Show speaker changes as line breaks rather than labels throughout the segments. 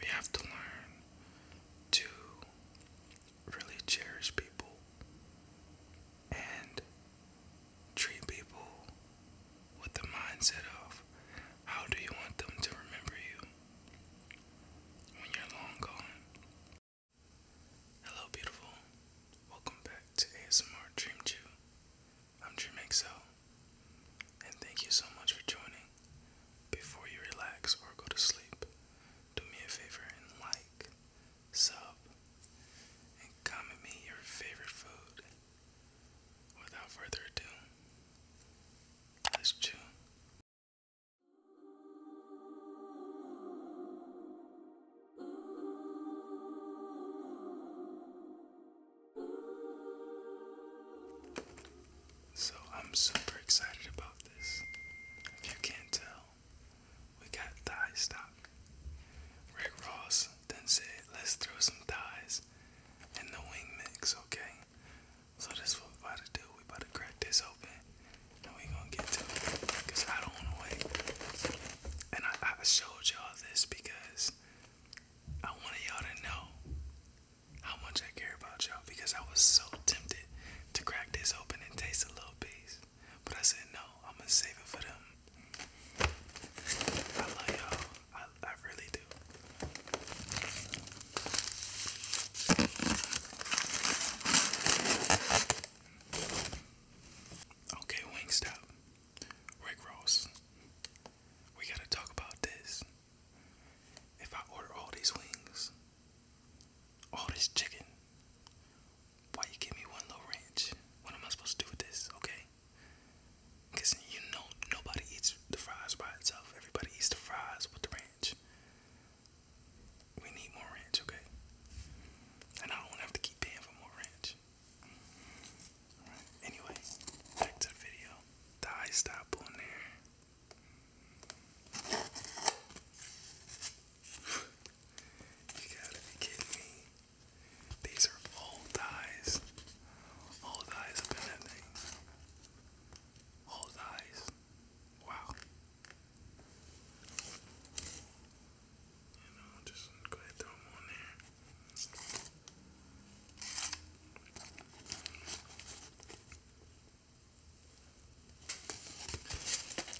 We have to learn to really cherish people and treat people with the mindset of how do you want them to remember you when you're long gone. Hello, beautiful. Welcome back to ASMR Dream Jew. I'm Dream Excel. And thank you so much for joining. Before you relax or go to sleep, do me a favor and like, sub, and comment me your favorite food. Without further ado, let's so I'm super excited about this. If you can't tell, we got thigh stock. Rick Ross then said, let's throw some thighs in the wing mix, okay? So that's what we about to do. we about to crack this open and we gonna get to it. Cause I don't wanna wait. And I showed y'all this because I wanted y'all to know how much I care about y'all because I was so tempted to crack this open and taste a little piece. But I said, no, I'm gonna save it for them. I love y'all. I, I really do. Okay, Wingstop. Rick Ross. We gotta talk about this. If I order all these wings, all this chicken, why you give me one little ranch? What am I supposed to do with this? Okay. you know nobody eats the fries by itself. Everybody eats the fries with the ranch. We need more ranch, okay? And I don't have to keep paying for more ranch. anyway, back to the video dye stop on there. you gotta be me. These are all dyes. All dyes up dyes. Wow. You know, just go ahead throw them on there.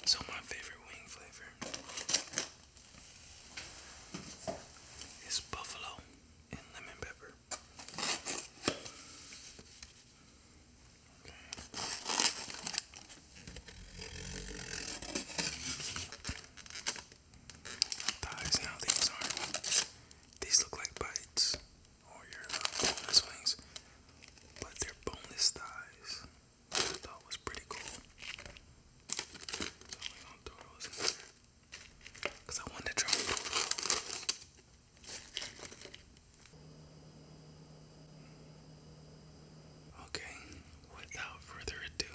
So my favorite wing flavor is buffalo and lemon pepper. Okay. now these are these look like bites or your wings, but they're boneless thighs. I was pretty cool. Cause I wanted to try Okay, without further ado,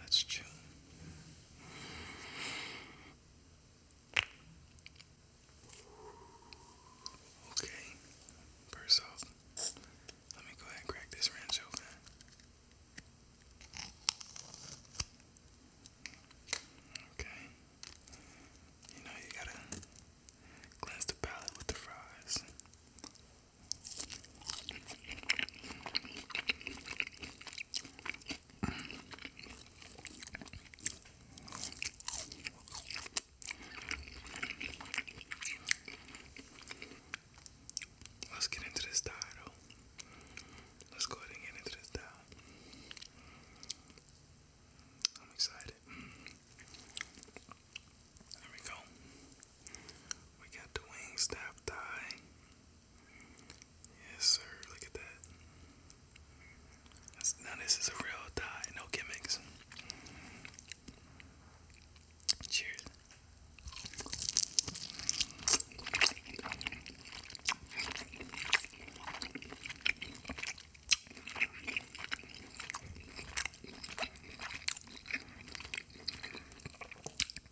let's chew. Okay, first off, let me go ahead and crack this ranch open. Okay, you know you gotta cleanse the palate with the fries. Let's get into this title. Let's go and get into this dial. I'm excited. There we go. We got the wing staff tie. Yes, sir. Look at that. now this is a real tie, no gimmicks. Cheers.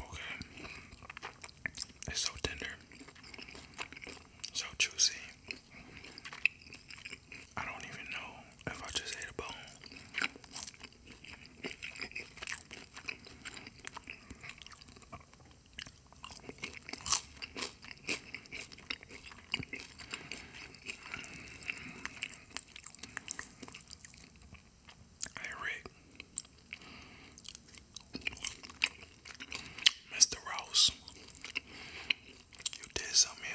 Okay. It's so tender. So juicy. I don't even know if I just ate a bone. Hey, Rick. Mr. Rose, You did something here.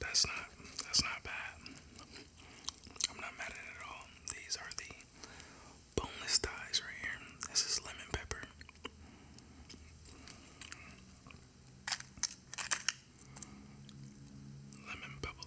That's not that's not bad. I'm not mad at at all. These are the boneless thighs right here. This is lemon pepper. Lemon bubble.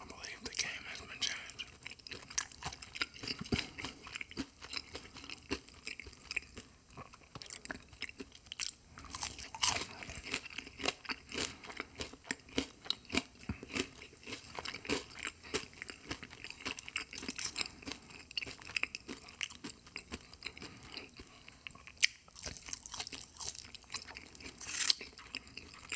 I believe the game has been changed.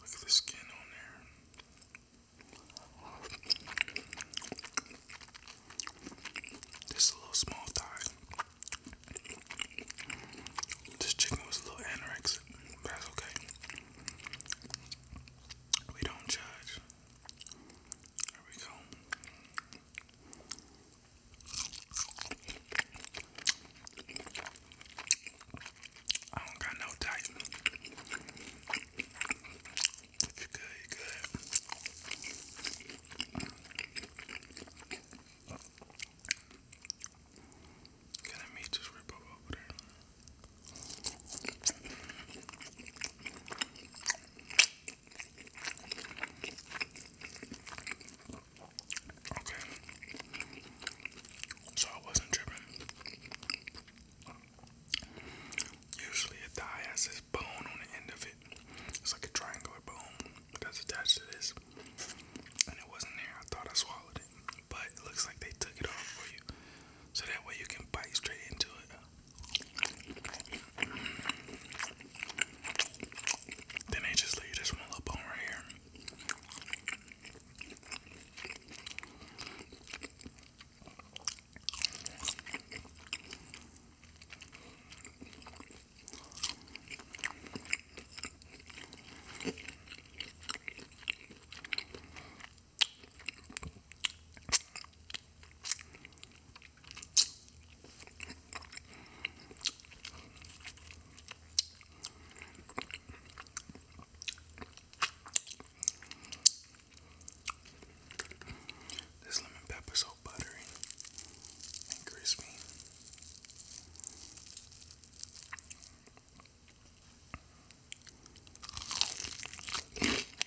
Look at the skin on there. This a little small thigh. This chicken was a little anorexic. That's okay. We don't judge. There we go. I don't got no type. If you good, you're good. Can I just rip over there? Okay. So I wasn't tripping. Usually a thigh has this bone on the end of it. It's like a triangular bone that's attached to this. And it wasn't there. I thought I swallowed it. But it looks like they took it off for you. So that way you can bite straight into it. Then they just leave this one little bone right here. This lemon pepper is so buttery and crispy.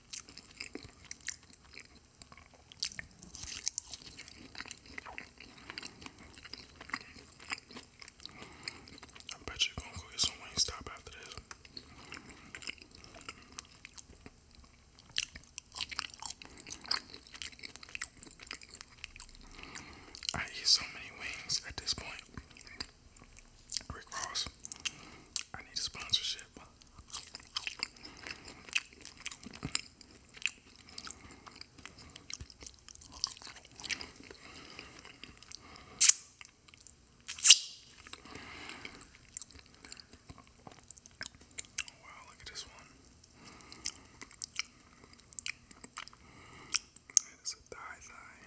I bet you're gonna go get some wing stop after this. I eat so many wings at this point. Rick Ross, I need a sponsorship. wow, look at this one. That is a thigh thigh.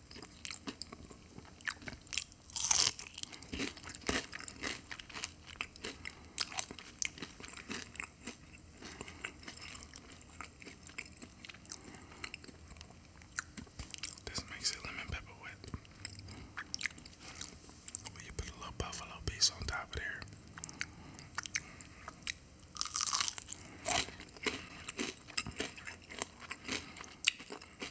This makes it lemon pepper wet. you put a little buffalo piece on top of there.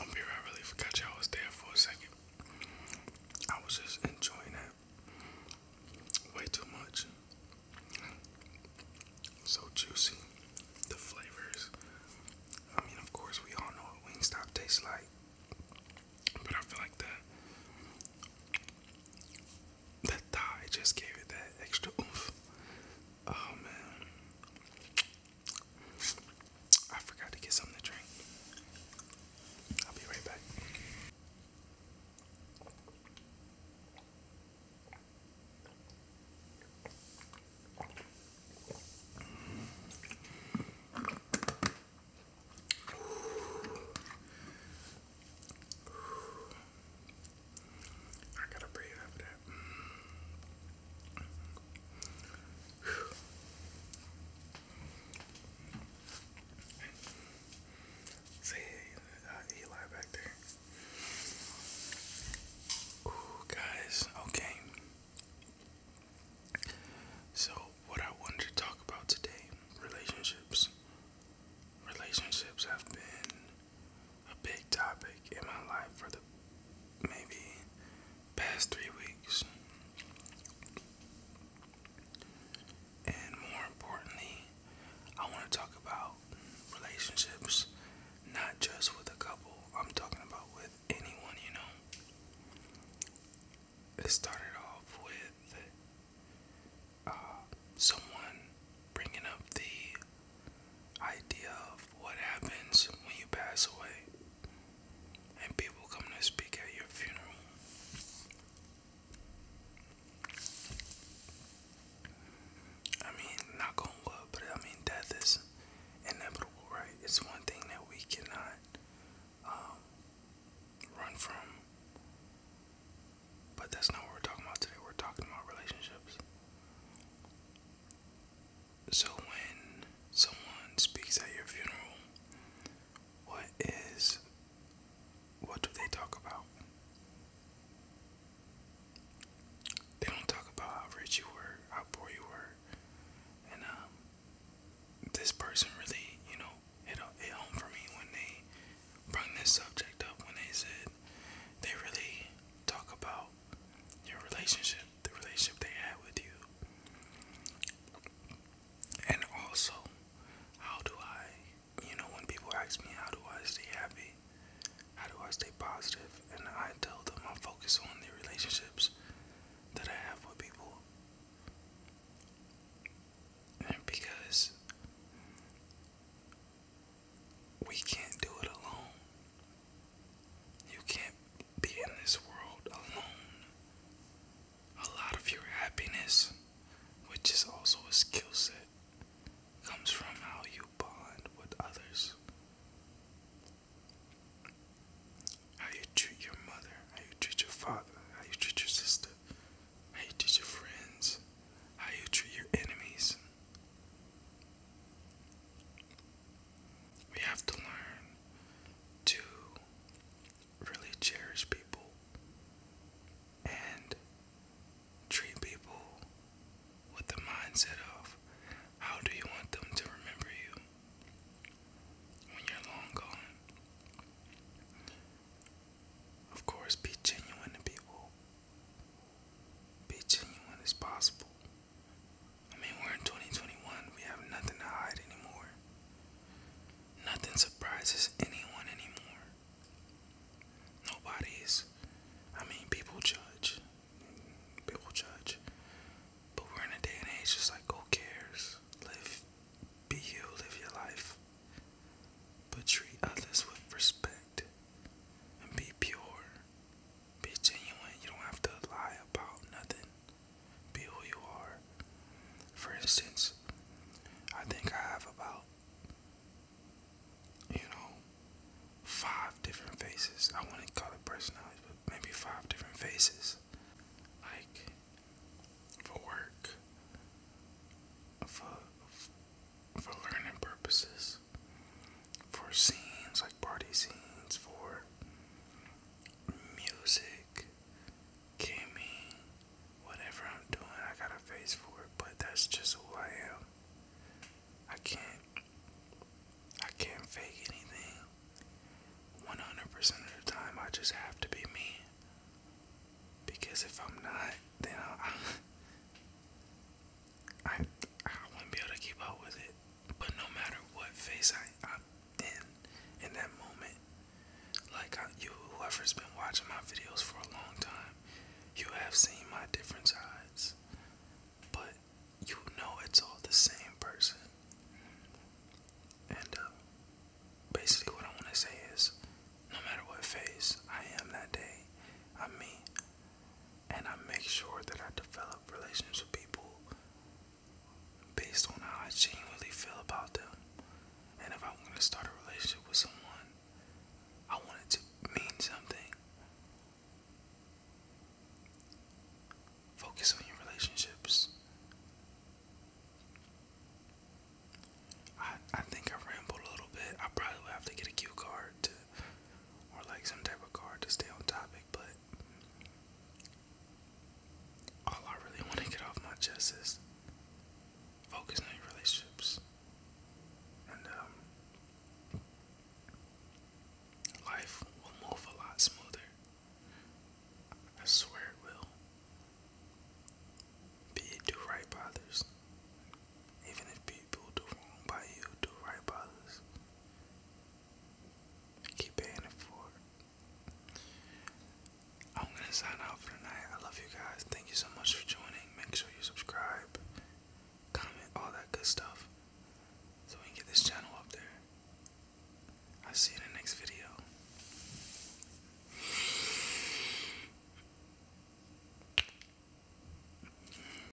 I'm here, I really forgot y'all was there for a second. I was just enjoying that way too much. So juicy, the flavors. I mean, of course, we all know what Wingstop tastes like, but I feel like the the thigh just gave it that extra oomph. Oh man, I forgot to get something to drink. I'll be right back. I gotta breathe after that. See uh, Eli back there. guys, okay. So, what I wanted to talk about today relationships. Relationships have been a big topic in my life for the maybe past three weeks. And more importantly, I want to talk about relationships, not just with a couple, I'm talking about with anyone, you know. It started off with uh, someone bringing up the idea of what happens when you pass away and people come to speak at your funeral. I mean, not gonna love, but I mean, death is inevitable, right? It's one thing that we cannot um, run from. But that's not what we're talking about today. We're talking about relationships. So, when someone speaks at your funeral, what is, what do they talk about? They don't talk about how rich you were, how poor you were, and um, this person really, you know, hit it home for me when they brought this subject up. When they said they really talk about your relationship, the relationship they had with you. And also, how do I, you know, when people ask me, how do I stay happy? How do I stay And I tell them I focus on the relationships that I have with people. And because we can't do it alone. You can't be in this world alone. A lot of your happiness, which is also a skill set, comes from how you bond with others. How you treat your mother, how you treat your father, how you treat your sister, how you treat your friends, how you treat your enemies. We have to learn to really cherish people and treat people with the mindset of how do you want them to remember you when you're long gone. Of course, be genuine to people. Be genuine as possible. I mean, we're in 2021. We have nothing to hide anymore. Nothing surprises anyone anymore. Nobody's. I mean, people judge. People judge. But we're in a day and age just like, who cares? Live. Be you. Live your life. But treat others with respect and be pure. Be genuine. You don't have to lie about nothing. Be who you are. For instance, I think I have about, you know, five different faces. I wouldn't call it personality, but maybe five different faces. Like, for work, for, for learning purposes, for scenes like party scenes, for music, gaming, whatever I'm doing, I got a face for it, but that's just who I am. I can't I can't fake anything. 100% of the time I just have to be me. Because if I'm not, then I I I wouldn't be able to keep up with it. But no matter what phase I, I'm in in that moment, like I, you, whoever's been watching my videos for a long time, you have seen my different sides. But you know it's all the same person. And uh, basically, what I want to say is no matter what phase I am that day, I'm me and I make sure that I develop relationships with people based on how I genuinely feel about them. And if i want to start a relationship with someone, I want it to mean something. Focus on your relationships. I, I think I rambled a little bit. I probably have to get a cue card or like some type of card to stay on topic, but all I really want to get off my chest is focus on your relationships and um, life will move a lot smoother. I swear it will. Be do right by others. Even if people do wrong by you, do right by others. Keep paying it forward. I'm gonna sign out for tonight. I love you guys. Thank you so much for joining. Make sure you subscribe, comment, all that good stuff. So we can get this channel up there. I'll see you in the next video.